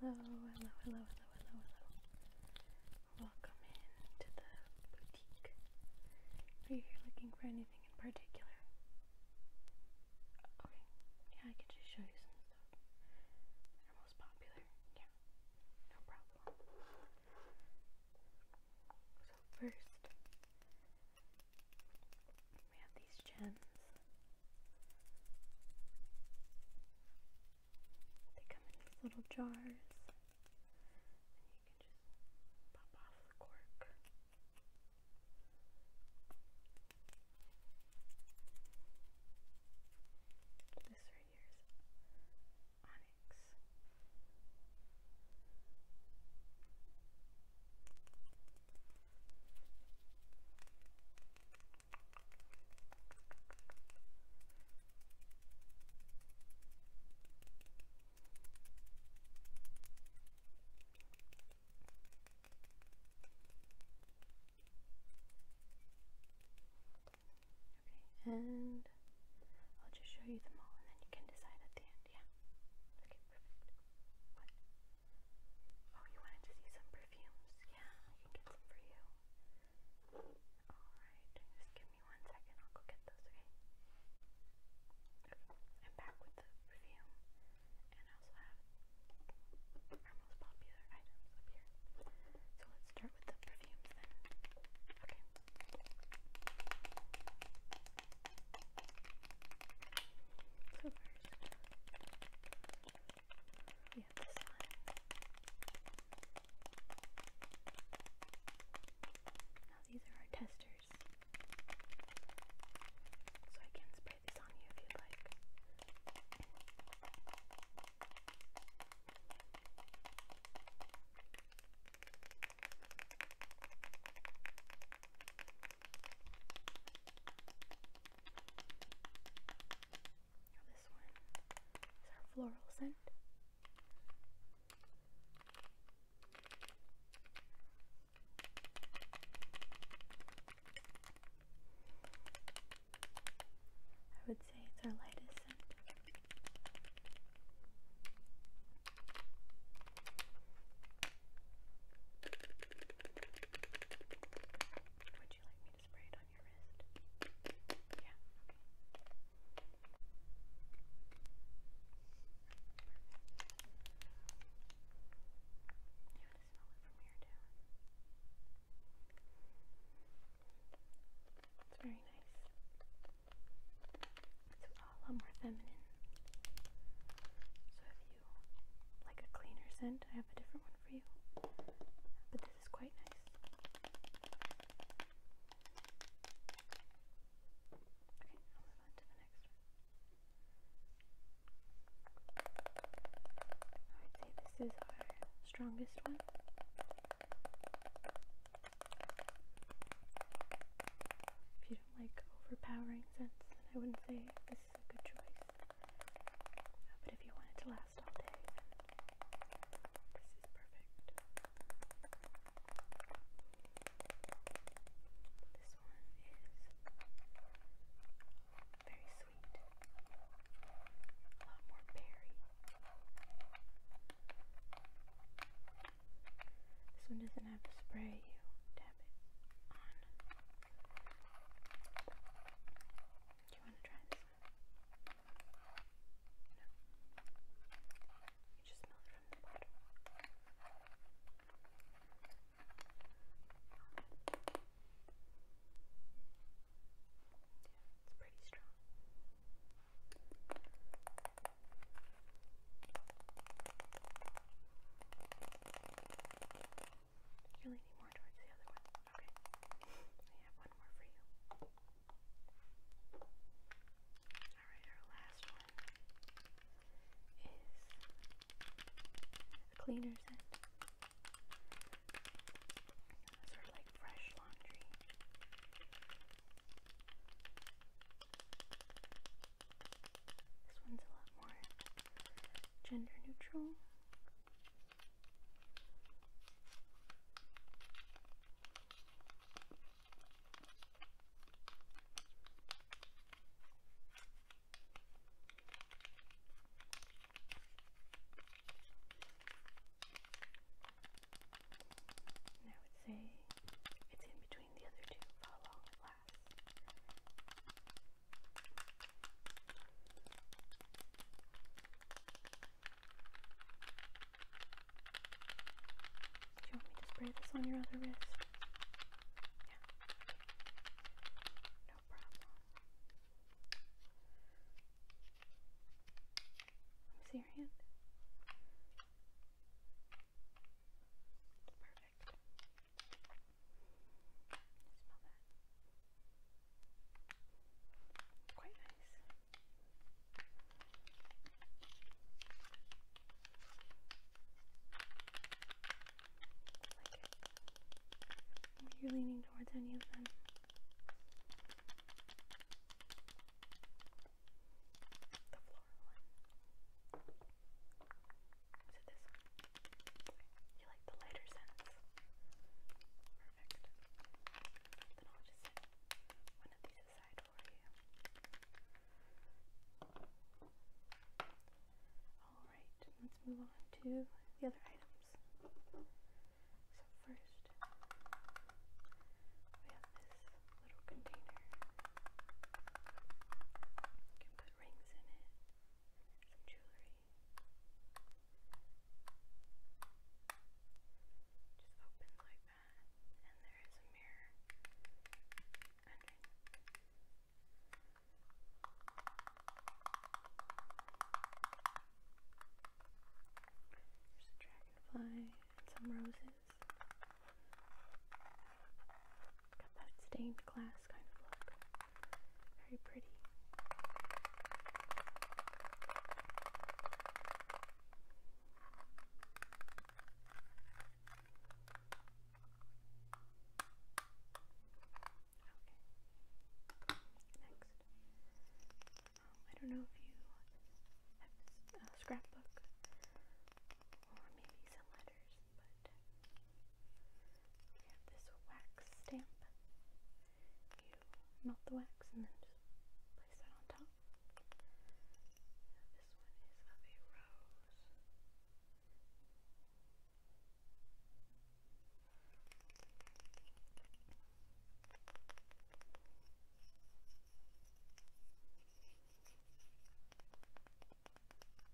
Hello, hello, hello, hello, hello, hello. Welcome in to the boutique. Are you here looking for anything in particular? Okay, yeah, I can just show you some stuff. They're most popular, yeah, no problem. So, first, we have these gems. They come in these little jars, and you can just pop off the cork. This right here is onyx. Okay, and I'll just show you them all and then you can decide at the end. Yeah. Okay, perfect. Oh, you wanted to see some perfumes? Yeah, I can get some for you. Alright, just give me one second, I'll go get those, okay? Okay, I'm back with the perfume, and I also have our most popular items up here. So let's start with the perfumes then. Okay. Coopers. We have this one. Now these are our testers. So I can spray this on you if you'd like this one is our floral scent. I would say it's our lightest scent. Would you like me to spray it on your wrist? Yeah, You want to smell it from here down. It's very nice. It's a lot more feminine. So if you like a cleaner scent, I have a different one for you. But this is quite nice. Okay, I'll move on to the next one. I'd say this is our strongest one. Beautiful like overpowering sense, then I wouldn't say this is a good choice. but if you want it to last all day, this is perfect. This one is very sweet, a lot more berry. This one does doesn't have a spray, you Do you want to try this one? No. You just smell it from the bottom. Yeah, it's pretty strong. You're leaning more towards the other one. Okay. I have one more for you. Alright, our last one is a cleaner Sort of like fresh laundry. This one's a lot more gender neutral. I would say it's in between the other two. Follow last. Do you want me to spray this on your other wrist? Yeah. No problem. Let me see your hand. Perfect. Smell that. Quite nice. Like it. If you're leaning towards any of them. The floor you like the lighter scents? Perfect. Then I'll just set one of these aside for you. Alright, let's move on to the other items. So, first, we have this little container. You can put rings in it, some jewelry. Just open like that, and there is a mirror There's a dragonfly and some roses. Got that stained glass kind of look. Very pretty. Okay. Next. Um, I don't know if you have a uh, scrapbook or maybe someone letters, we have this wax stamp. You melt the wax and then just place that on top. this one is of a rose.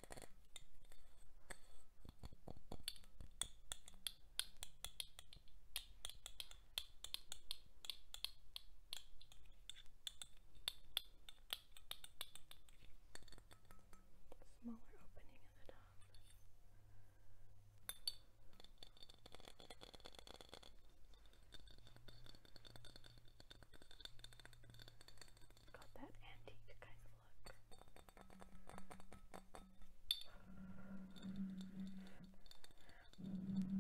Smaller opening at the top. Got that antique kind of look. Alright, moving on. Last but not least, we have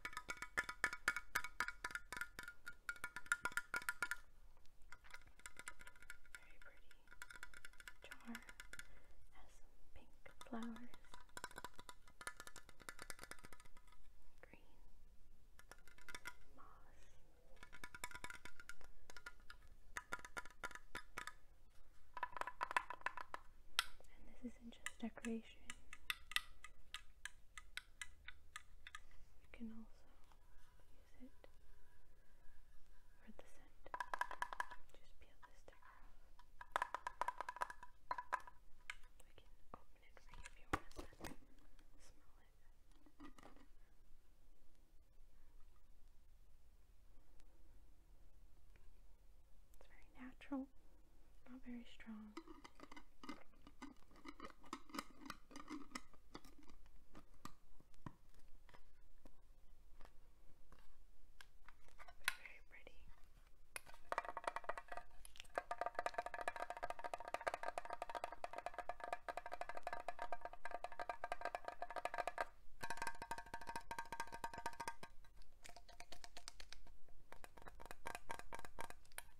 this very pretty jar has some pink flowers, green moss. And this isn't just decoration. You can also use it for the scent. Just peel the sticker We can open it for you if you want to smell it. It's very natural not very strong. very pretty. Those are popular items.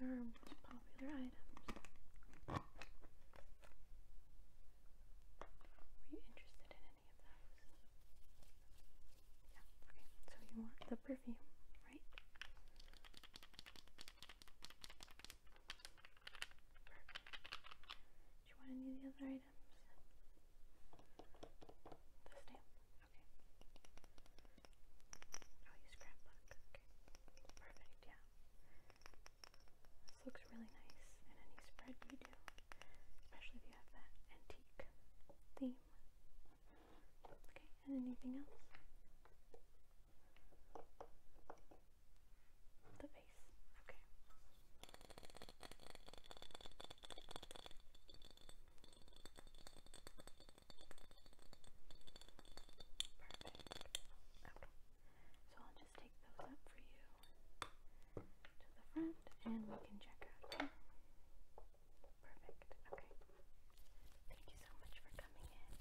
Were you interested in any of those? Yeah, okay. So you want the perfume, right? Do you want any of the other items? The stamp. Okay. Oh, you scrapbook. Okay. Perfect. Yeah. This looks really nice in any spread you do, especially if you have that antique theme. Okay. And anything else? The base. Okay. So I'll just take those up for you to the front and we can check out. Perfect. Okay. Thank you so much for coming in.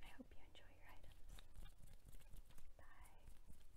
I hope you enjoy your items. Bye.